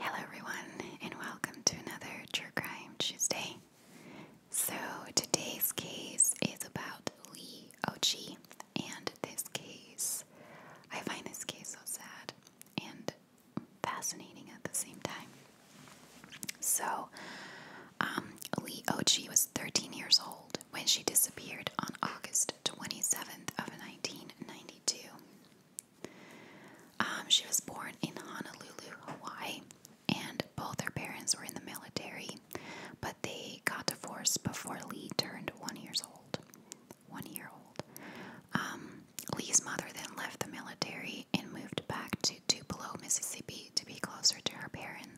Hello, everyone, and welcome to another True Crime Tuesday. So, today's case is about Lee Ochi, and this case, I find this case so sad and fascinating at the same time. So, um, Lee Ochi was 13 years old when she disappeared on August 27th of 1992. Um, she was born in Honolulu, Hawaii, and both her parents were in the military, but they got divorced before Lee turned one years old. One year old. Um, Lee's mother then left the military and moved back to Tupelo, Mississippi, to be closer to her parents.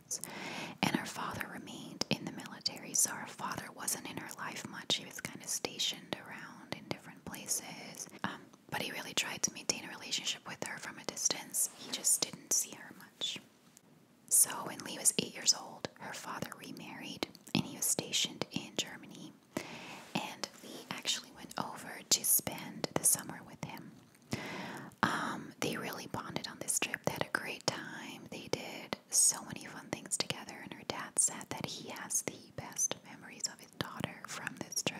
And her father remained in the military, so her father wasn't in her life much. He was kind of stationed around in different places. Um, but he really tried to maintain a relationship with her from a distance. He just didn't see her much. So when Lee was eight years old, her father remarried and he was stationed in Germany. And Lee actually went over to spend the summer with him. Um, they really bonded on this trip. They had a great time. They did so many fun things together, and her dad said that he has the best memories of his daughter from this trip.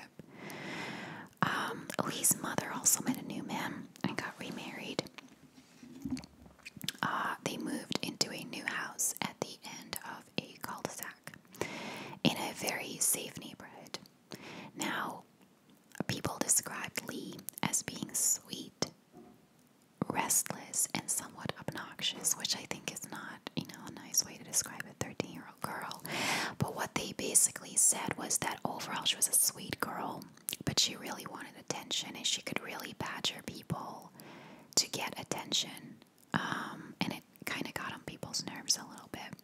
Um, mother also met a new man and got remarried. Uh, they moved into a new house at the end of a cul-de-sac in a very safe neighborhood. Now, People described Lee as being sweet, restless, and somewhat obnoxious, which I think is not, you know, a nice way to describe a 13 year old girl. But what they basically said was that overall she was a sweet girl, but she really wanted attention and she could really badger people to get attention. Um, and it kind of got on people's nerves a little bit.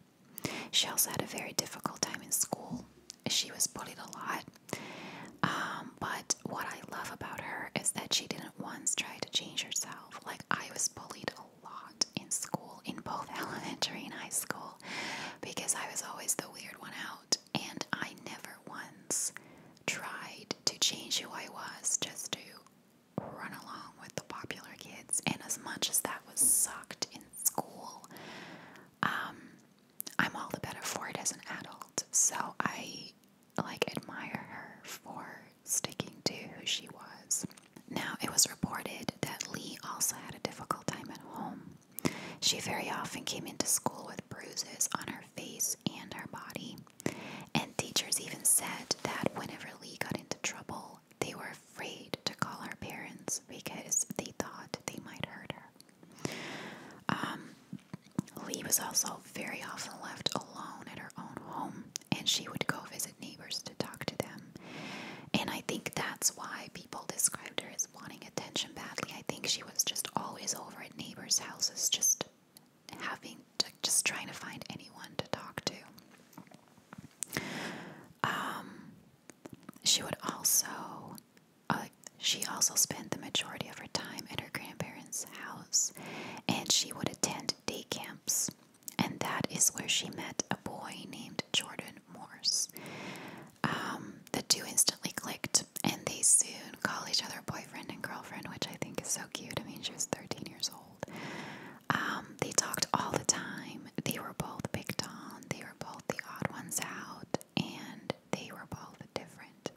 She also had a very difficult time in school. She was bullied a lot. Um, but what I love about her is that she didn't once try to change herself. Like, I was bullied a lot in school, in both elementary and high school, because I was always the weird one out. And I never once tried to change who I was just to run along with the popular kids. And as much as that was sucked in school, um, I'm all the better for it as an adult. So I like admire her for sticking to who she was. Now, it was reported that Lee also had a difficult time at home. She very often came into school with bruises on her face and her body, and teachers even said that whenever Lee got into trouble, they were afraid to call her parents because they thought they might hurt her. Um, Lee was also very often left alone at her own home, and she would go visit neighbors to talk to them. And I think that's why people described her as wanting attention badly. I think she was just always over at neighbors' houses, just having to, just trying to find anyone to talk to. Um, she would also, uh, she also spent the majority of her time in her grandparents' house, and she would attend day camps, and that is where she met a boy named Jordan Morse. Um, the two instantly clicked, and they soon call each other boyfriend and girlfriend, which I think is so cute. I mean, she was 13 years old. Um, they talked all the time. They were both picked on. They were were both the odd ones out and they were both different.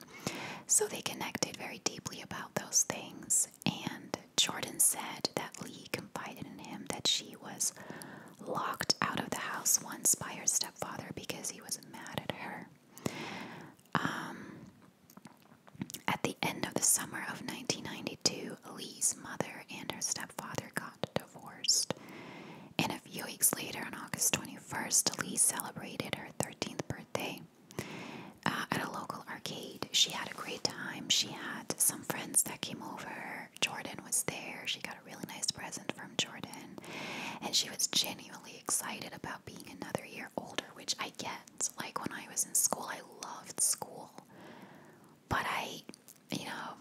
So they connected very deeply about those things. And Jordan said that Lee confided in him that she was locked out of the house once by her stepfather because he was mad at her. Um, at the end of the summer of 1992, Lee's mother and her stepfather divorced. And a few weeks later, on August 21st, Lee celebrated her 13th birthday uh, at a local arcade. She had a great time. She had some friends that came over. Jordan was there. She got a really nice present from Jordan. And she was genuinely excited about being another year older, which I get. Like when I was in school, I loved school. But I, you know,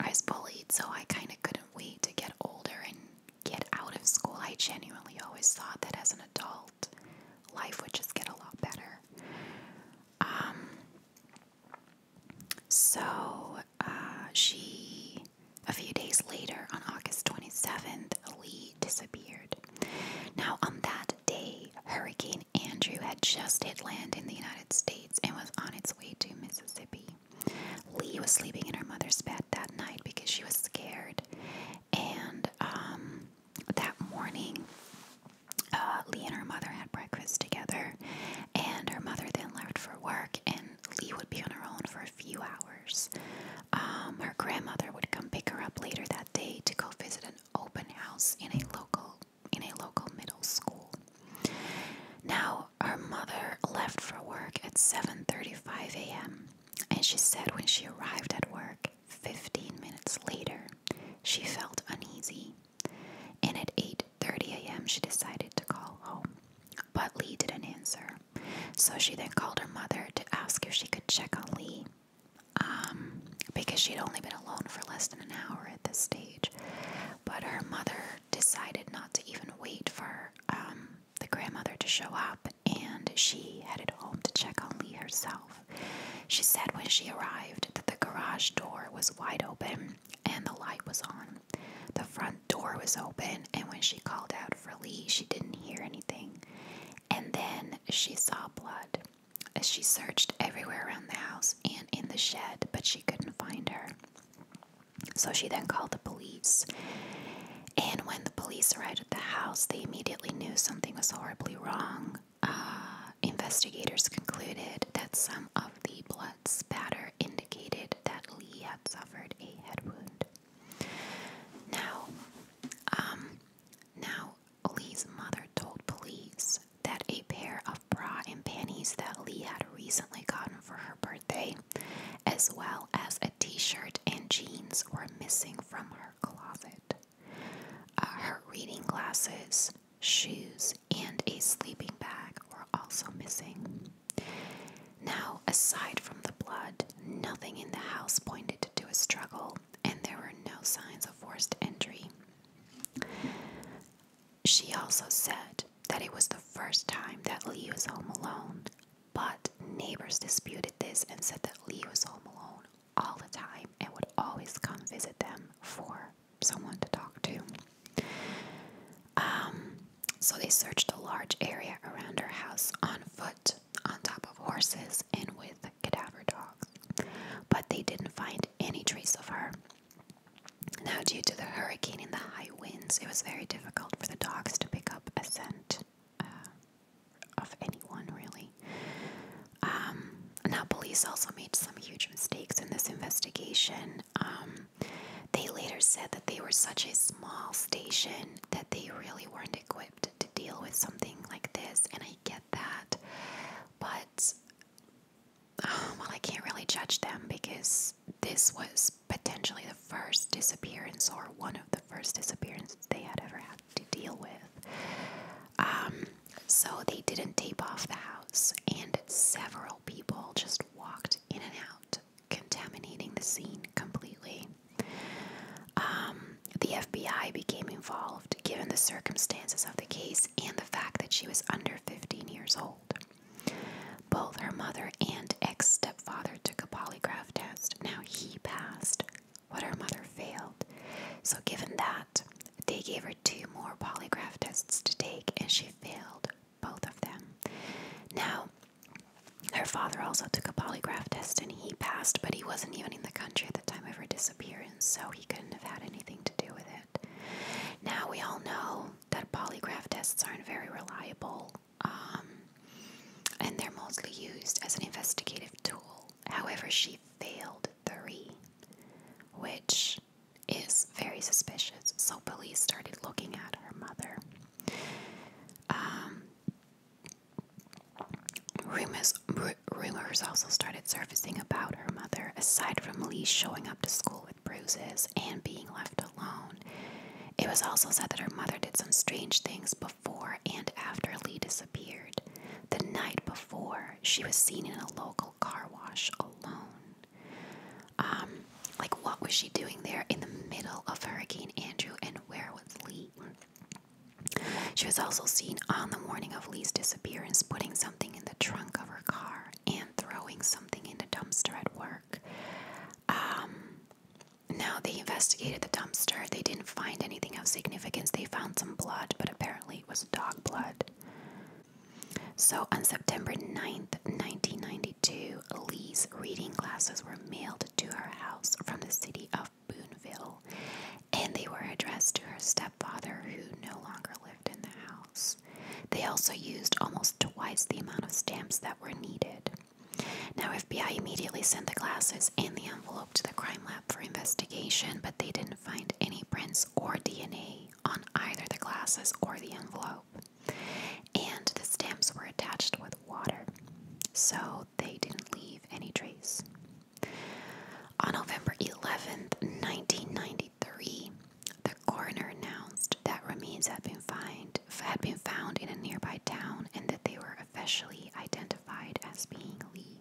I was bullied, so I kind of couldn't wait to get older and get out of school. I genuinely always thought that as an adult, life would just get a lot better. Um, so uh, she, a few days later, on August 27th, Lee disappeared. Now, on that day, Hurricane Andrew had just hit land in the United States and was on its way to Mississippi. Lee was sleeping in her mother's bed that night because she was scared. And um, that morning, uh, Lee and her mother had breakfast together, and her mother then left for work, and Lee would be on her own for a few hours. Um, her grandmother would come pick her up later that day to go visit an open house in a local in a local middle school. Now, her mother left for work at 7:35 a.m. and she said when she arrived at work 15 minutes later, she felt uneasy. And at 8:30 a.m., she decided to call home. But Lee didn't answer. So she then called her mother to ask if she could check on Lee. Um, because she'd only been alone for less than an hour at this stage. But her mother decided not to even wait for um, the grandmother to show up, and she headed home to check on Lee herself. She said when she arrived that the garage door was wide open and the light was on. The front door was open, and when she called out for Lee, she didn't hear anything. And then she saw blood as she searched everywhere around the house and in the shed, but she couldn't find her. So she then called the police. And when the police arrived at the house, they immediately knew something was horribly wrong. Uh, investigators concluded that some of the blood spatter indicated that Lee had suffered a head wound. Now, um, now Lee's mother told police that a pair of bra and panties that Lee had recently gotten for her birthday, as well as a t shirt and jeans, were missing from her closet. Uh, her reading glasses, shoes, and a sleeping bag were also missing. Now, aside from the blood, nothing in the house pointed to a struggle, and there were no signs of forced entry. She also said that it was the first time that Lee was home alone, but neighbors disputed this and said that Lee was home alone all the time and would always come visit them for someone to talk to. Um, so they searched a large area around her house on foot, on top of horses, and with cadaver dogs, but they didn't find any trace of her. Now, due to the hurricane and the high winds, it was very difficult for the dogs to pick up a scent uh, of anyone, really. Um, now, police also made some huge mistakes in this investigation. Um, they later said that they were such a small station that they really weren't equipped to deal with something like this, and I get that. But well, I can't really judge them because this was potentially the first disappearance or one of the first disappearances they had ever had to deal with. Um, so they didn't tape off the house, and several people just walked in and out, contaminating the scene completely. Um, the FBI became involved given the circumstances of the case and the fact that she was under 15 years old. Both her mother and ex stepfather took a polygraph test. Now he passed, but her mother failed. So, given that, they gave her two more polygraph tests to take and she failed both of them. Now, her father also took a polygraph test and he passed, but he wasn't even in the country at the time of her disappearance and so he couldn't have had anything to do with it. Now, we all know that polygraph tests aren't very reliable, um, and they're mostly used as an investigative tool. However, she failed three, which is very suspicious, so police started looking at her mother. Um, Rumors, rumors also started surfacing about her mother, aside from Lee showing up to school with bruises and being left alone. It was also said that her mother did some strange things before and after Lee disappeared. The night before, she was seen in a local car wash alone. Um, like, what was she doing there in the middle of Hurricane Andrew, and where was Lee? She was also seen on the morning of Lee's disappearance putting something in the trunk of her car and throwing something in the dumpster at work. Um, now, they investigated the dumpster. They didn't find anything of significance. They found some blood, but apparently it was dog blood. So, on September 9th, 1992, Lee's reading glasses were mailed to her house from the city of of Boonville, and they were addressed to her stepfather, who no longer lived in the house. They also used almost twice the amount of stamps that were needed. Now, FBI immediately sent the glasses and the envelope to the crime lab for investigation, but they didn't find any prints or DNA on either the glasses or the envelope. And the stamps were attached with water, so they didn't leave any trace. On November 11th, 1993, the coroner announced that remains had been, find, had been found in a nearby town and that they were officially identified as being Lee.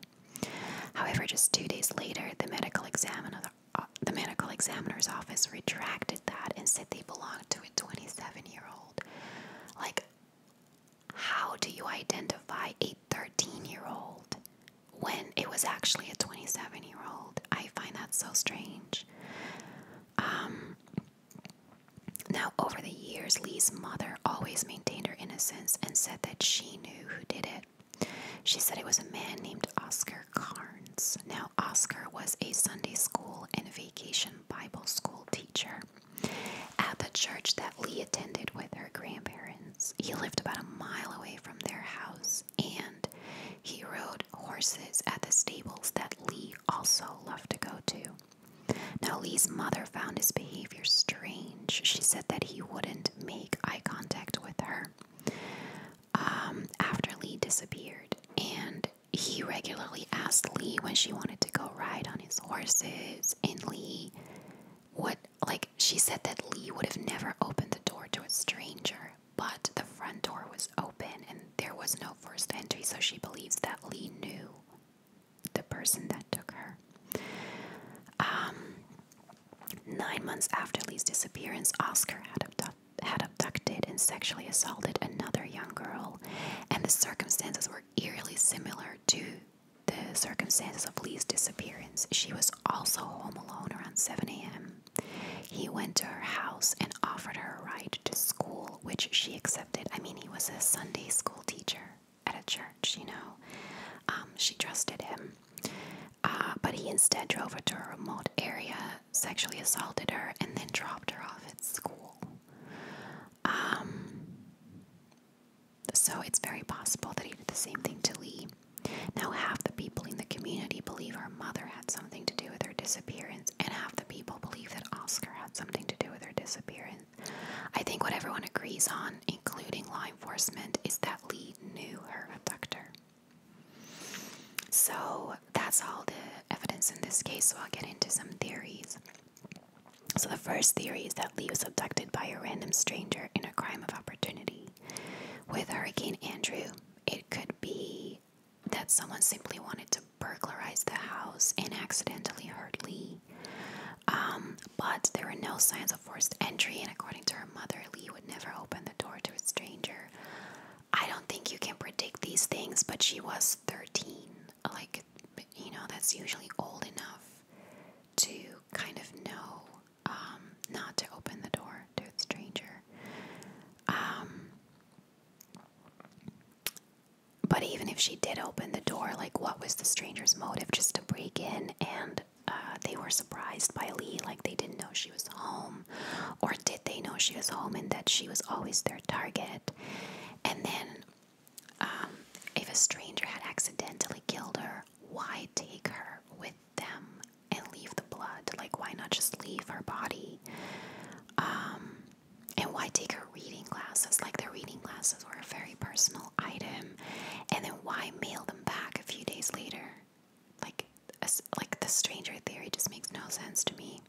However, just two days later, the medical examiner, uh, the medical examiner's office retracted that and said they belonged to a 27-year-old. Like, how do you identify a 13 year old when it was actually a 27 year old? I find that so strange. Um, now, over the years, Lee's mother always maintained her innocence and said that she knew who did it. She said it was a man named Oscar Carnes. Now, Oscar was a Sunday school and vacation Bible school teacher at the church that Lee attended with her grandparents. He lived about a mile away from their house and he rode horses at the stables that Lee also loved to go to. Now, Lee's mother found his behavior strange. She said that he wouldn't make eye contact with her um, after Lee disappeared, and he regularly asked Lee when she wanted to go ride on his horses, and Lee what like she said that Lee would have never opened the door to a stranger, but the front door was open and there was no forced entry, so she believes that Lee knew the person that took her. Um, nine months after Lee's disappearance, Oscar had had abducted and sexually assaulted another young girl, and the circumstances were eerily similar to the circumstances of Lee's disappearance, she was also home alone around 7 a.m. He went to her house and offered her a ride to school, which she accepted. I mean, he was a Sunday school teacher at a church, you know. Um, she trusted him. Uh, but he instead drove her to a remote area, sexually assaulted her, and then dropped her off at school. Um, so it's very possible that he did the same thing to Lee. Now, half the people in the community believe her mother had something to do with her disappearance, and half the people believe that Oscar had something to do with her disappearance. I think what everyone agrees on, including law enforcement, is that Lee knew her abductor. So that's all the evidence in this case, so I'll get into some theories. So, the first theory is that Lee was abducted by a random stranger in a crime of opportunity. With Hurricane Andrew, it could be that someone simply wanted to burglarize the house and accidentally hurt Lee. Um, but there were no signs of forced entry, and according to her mother, Lee would never open the door to a stranger. I don't think you can predict these things, but she was 13 like you know that's usually old enough to kind of know um, not to open the door to a stranger. Um, but even if she did open the door, like what was the stranger's motive just to break in and uh, they were surprised by Lee, like they didn't know she was home, or did they know she was home and that she was always their target? And then um, if a stranger had accidentally killed her, why take her with them and leave the blood? Like, why not just leave her body? Um, and why take her reading glasses? Like, the reading glasses were a very personal item. And then why mail them back a few days later? Like, like the stranger theory just makes no sense to me.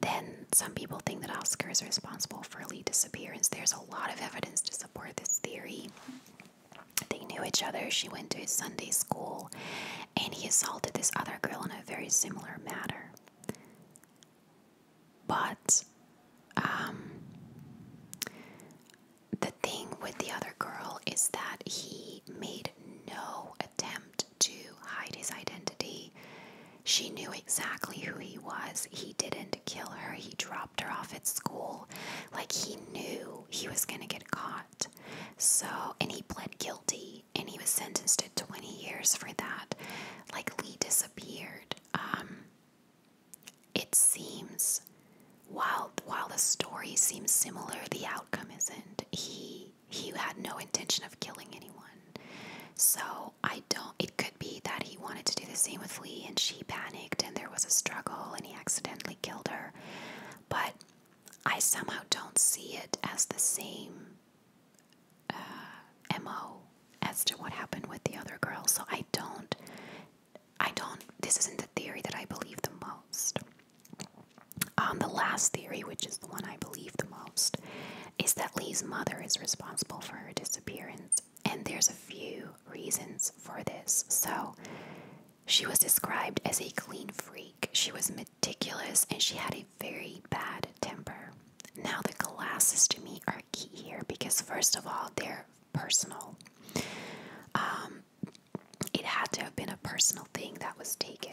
Then some people think that Oscar is responsible for Lee's disappearance. There's a lot of evidence to support this theory. They knew each other. She went to his Sunday school, and he assaulted this other girl in a very similar manner. But um, the thing with the other girl is that he made no attempt to hide his identity. She knew exactly who he was. He didn't kill her. He dropped her off at school. Like he knew he was going to get caught. So, and he pled guilty and he was sentenced to 20 years for that. Like Lee disappeared. Um, it seems, while, while the story seems similar, the outcome isn't. He, he had no intention of killing anyone. So I don't, it could be that he wanted to do the same with Lee and she panicked and there was a struggle and he accidentally killed her. But I somehow don't see it as the same uh, MO as to what happened with the other girls. So I don't, I don't, this isn't the theory that I believe the most. Um, the last theory, which is the one I believe the most, is that Lee's mother is responsible for her disappearance. And there's a few reasons for this. So, she was described as a clean freak. She was meticulous and she had a very bad temper. Now, the glasses to me are key here because, first of all, they're personal. Um, it had to have been a personal thing that was taken.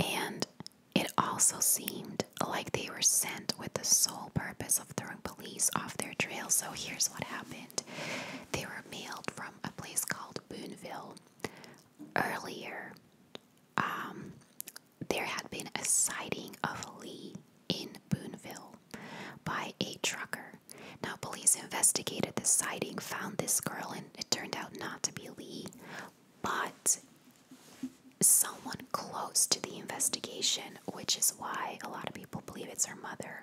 And it also seemed like they were sent with the sole purpose of throwing police off their trail. So here's what happened they were mailed from a place called Booneville. earlier. Um, there had been a sighting of Lee in Booneville by a trucker. Now, police investigated the sighting, found this girl, and it turned out not to be Lee, but someone close to the investigation, which is why a lot of people believe it's her mother,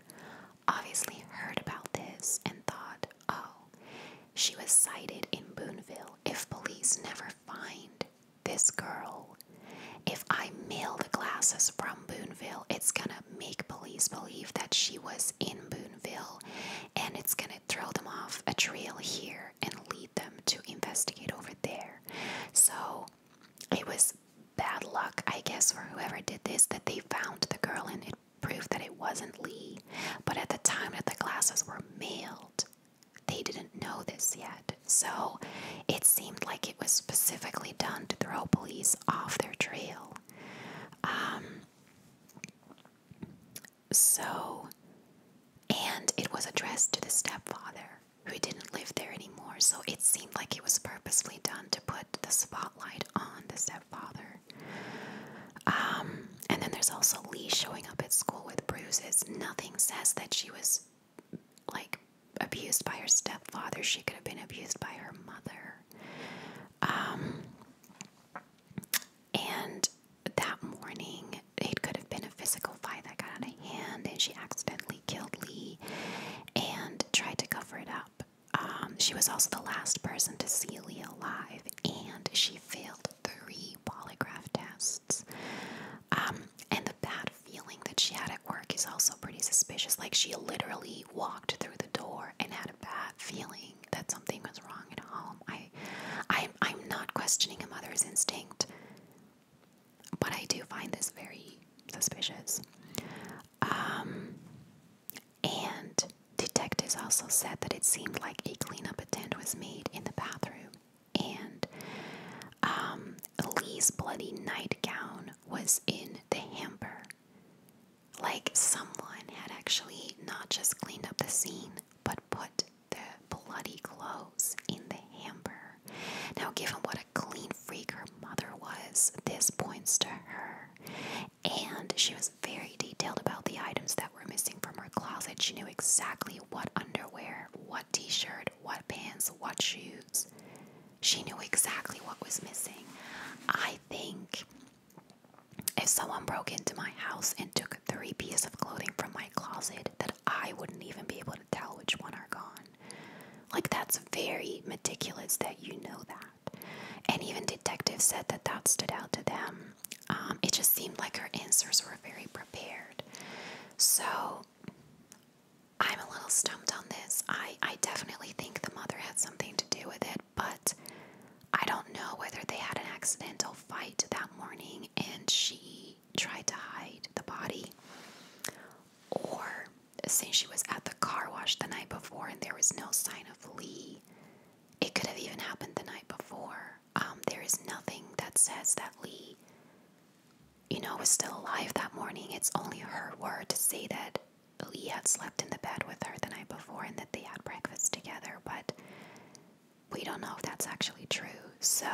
obviously heard about this and thought, oh, she was sighted in Boonville. If police never find this girl, if I mail the glasses from Boonville, it's gonna make police believe that she was in Boonville and it's gonna throw them off a trail here and lead them to investigate over there. So it was bad luck, I guess, for whoever did this that they found the girl and it proved that it wasn't Lee. But at the time that the glasses were mailed, they didn't know this yet. So it seemed like it was specifically done to throw police off their trail. Um, so, and it was addressed to the stepfather who didn't live there anymore. So it seemed like it was purposely done to put the spotlight on the stepfather. Um, and then there's also Lee showing up at school with bruises. Nothing says that she was like abused by her stepfather. She could have been abused by her mother. Um, and that morning, it could have been a physical fight that got out of hand, and she accidentally killed Lee and tried to cover it up. Um, she was also the last person to see Lee alive, and she failed three polygraph tests. Um, and the bad feeling that she had at work is also pretty suspicious. Like, she literally walked through the door and had a bad feeling that something was wrong at home. I, I, I'm not questioning a mother's instinct, but I do find this very suspicious. Um, and detectives also said that it seemed like a cleanup attempt was made in the bathroom, and um, bloody nightgown was in the hamper. Like someone had actually not just cleaned up the scene, but put the bloody clothes in the hamper. Now, given what a clean freak her mother was, this points to her. And she was very detailed about the items that were missing from her closet. She knew exactly what underwear, what t shirt, what pants, what shoes. She knew exactly what was missing. I think if someone broke into my house and took three pieces of clothing from my closet, that I wouldn't even be able to tell which one are gone. Like, that's very meticulous that you know that. And even detectives said that that stood out to them. Um, it just seemed like her answers were very prepared. So, I'm a little stumped on this. I, I definitely think the mother had something to do with it, but I don't know whether they had an accidental fight that morning and she tried to hide the body, or since she was at the car wash the night before and there was no sign of Lee, it could have even happened the night before. Um, there is nothing that says that Lee, you know, was still alive that morning. It's only her word to say that Lee had slept in the bed with her the night before and that they had breakfast together but we don't know if that's actually true. So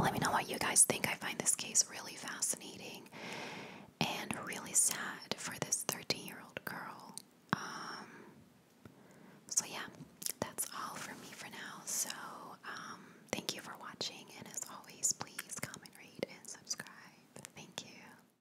let me know what you guys think. I find this case really fascinating and really sad for this 13 year old girl. Um, so, yeah, that's all for me for now. So, um, thank you for watching, and as always, please comment, rate, and subscribe. Thank you.